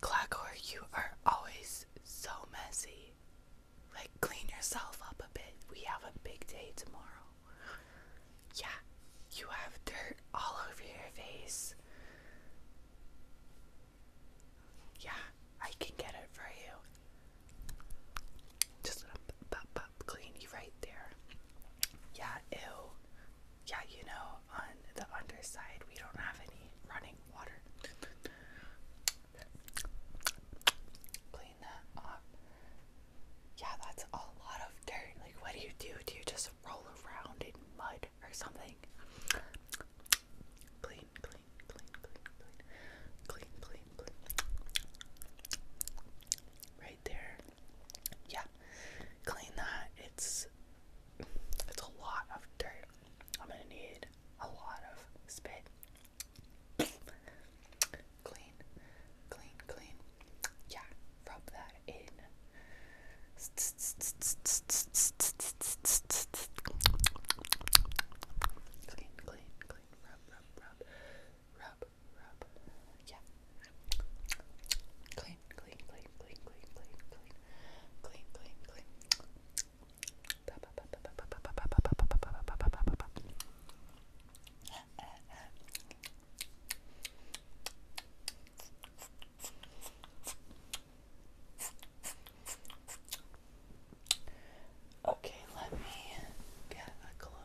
Clagor, you are always so messy. Like, clean yourself up a bit. We have a big day tomorrow. Yeah, you have dirt all over your face. Yeah, I can get it for you. Just gonna pop, pop, pop, clean you right there. Yeah, ew yeah, you know, on the underside, we don't have any running water. Clean that up. Yeah, that's a lot of dirt. Like, what do you do? Do you just roll around in mud or something? Clean, clean, clean, clean, clean, clean, clean, Right there yeah, clean that. It's it's a lot of dirt. I'm gonna need a lot of spit. clean, clean, clean. Yeah, rub that in. Clean, clean, clean. Rub, rub, rub. Rub, rub. Yeah, Clean, clean, clean, clean, clean, clean, clean, clean, clean, clean. Okay, let me get a close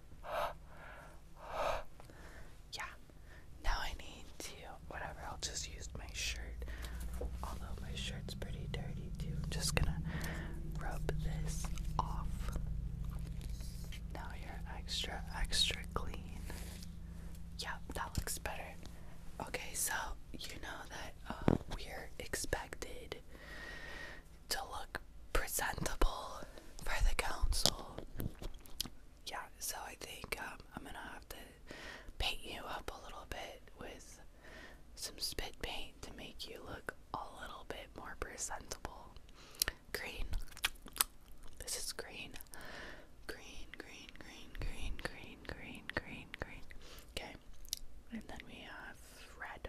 yeah. Now I need to whatever. I'll just use my shirt. Although my shirt's pretty dirty too. I'm just gonna rub this off. Now you're extra extra clean. Yeah, that looks better. Okay, so you know that uh, we're expected to look presentable for the council. Yeah, so I think um, I'm gonna have to paint you up a little bit with some spit paint to make you look a little bit more presentable. Green. This is green. Green, green, green, green, green, green, green, green. Okay. And then we have red.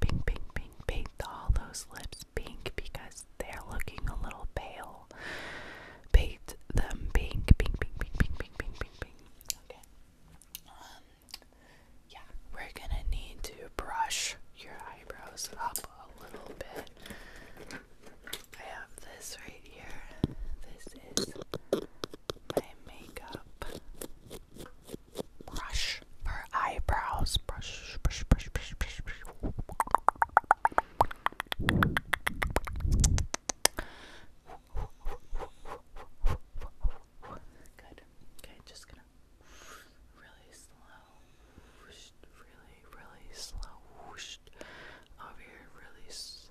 pink, pink, pink, pink, pink, All those lips pink because they're looking a little pale. Paint them pink, pink, pink, pink, pink, pink, pink, pink, pink. Okay. Um, yeah, we're gonna need to brush your eyebrows up a little bit. I have this right here. This is my makeup brush for eyebrows. Brush, brush, brush, brush, brush, brush. Good. Okay, just gonna really slow, really, really slow over here, really slow.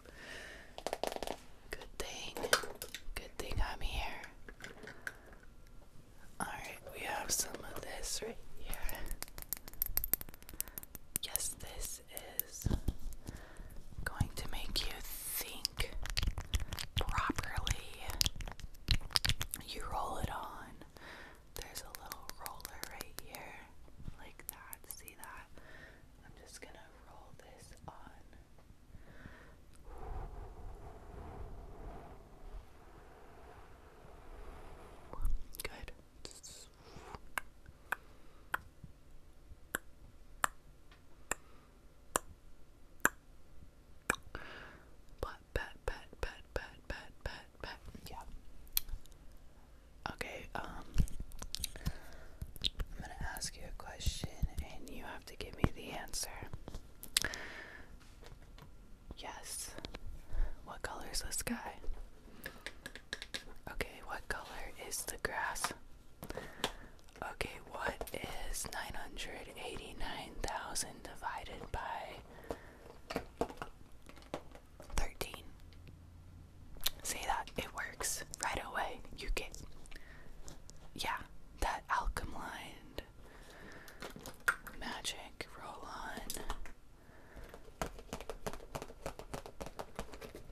Good thing. Good thing I'm here. Alright, we have some of this right here. Yes, this is going to make you think properly. You roll it on. There's a little roller right here, like that. See that? I'm just gonna roll this on Good. But pet, pet, pet, pet, pet, pet, Yeah. Okay, um, I'm gonna ask you a question and you have to give me the answer. Yes. What color is the sky? Okay, what color is the grass? Okay, what is 989,000 divided by 13? say that it works right away. You get, yeah, that alchem lined magic roll on.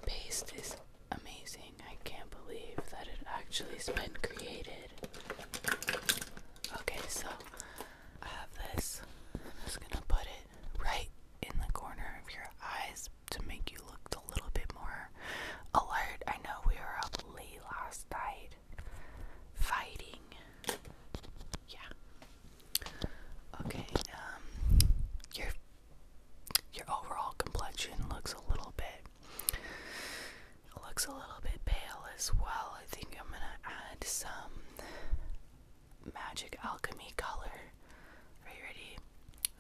Paste is amazing. I can't believe that it actually's been created. Okay, so I have this. I'm just gonna put it right in the corner of your eyes to make you look a little bit more alert. I know we were up late last night fighting. Yeah. Okay, um your your overall complexion looks a little bit looks a little bit pale as well. I think I'm gonna add some magic alchemy color. Are you ready?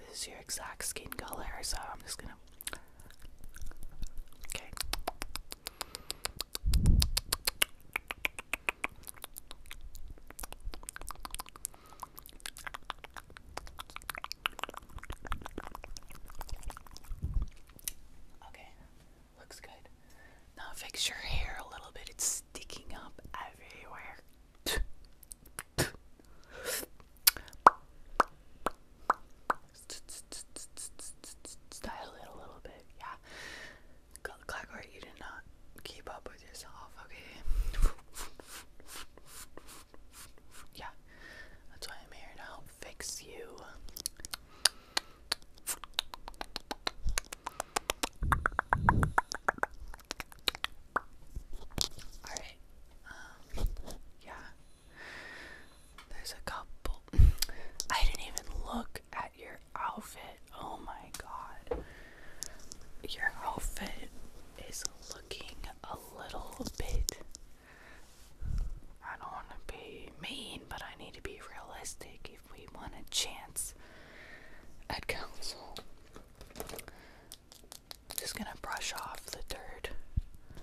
This is your exact skin color, so I'm just gonna. Okay. Okay, looks good. Now fix your hair a little bit. It's sticking up everywhere. Style it a little bit, yeah. Clockwork, you did not keep up with yourself, okay? yeah, that's why I'm here to help fix you. Alright, um, yeah. There's a couple. I didn't even look at your outfit. Oh my god. Your outfit is looking a little bit. I don't want to be mean, but I need to be realistic, we want a chance at council. Just gonna brush off the dirt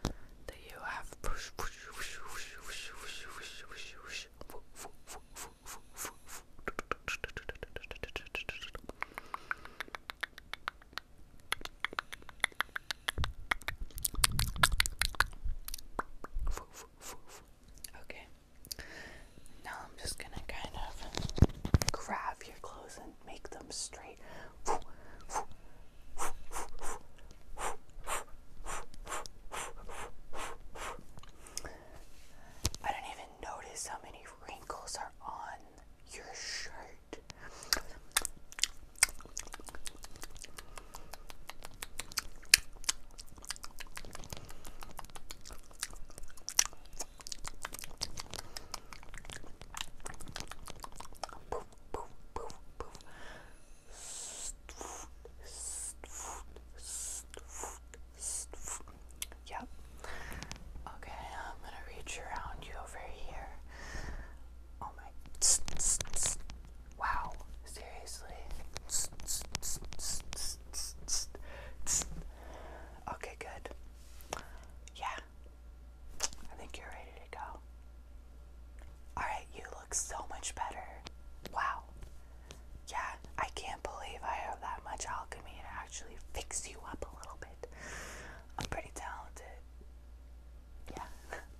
that you have. Okay. Now I'm just gonna kind of grab your clothes and make them straight. I don't even notice how many wrinkles are on your shirt. Yep. Okay, I'm gonna reach around you over here. Oh my. Wow, seriously? Okay, good. Yeah, I think you're ready to go. Alright, you look so much better. Wow. Yeah, I can't believe I have that much alchemy to actually fix you up a little bit. I'm pretty talented. Yeah.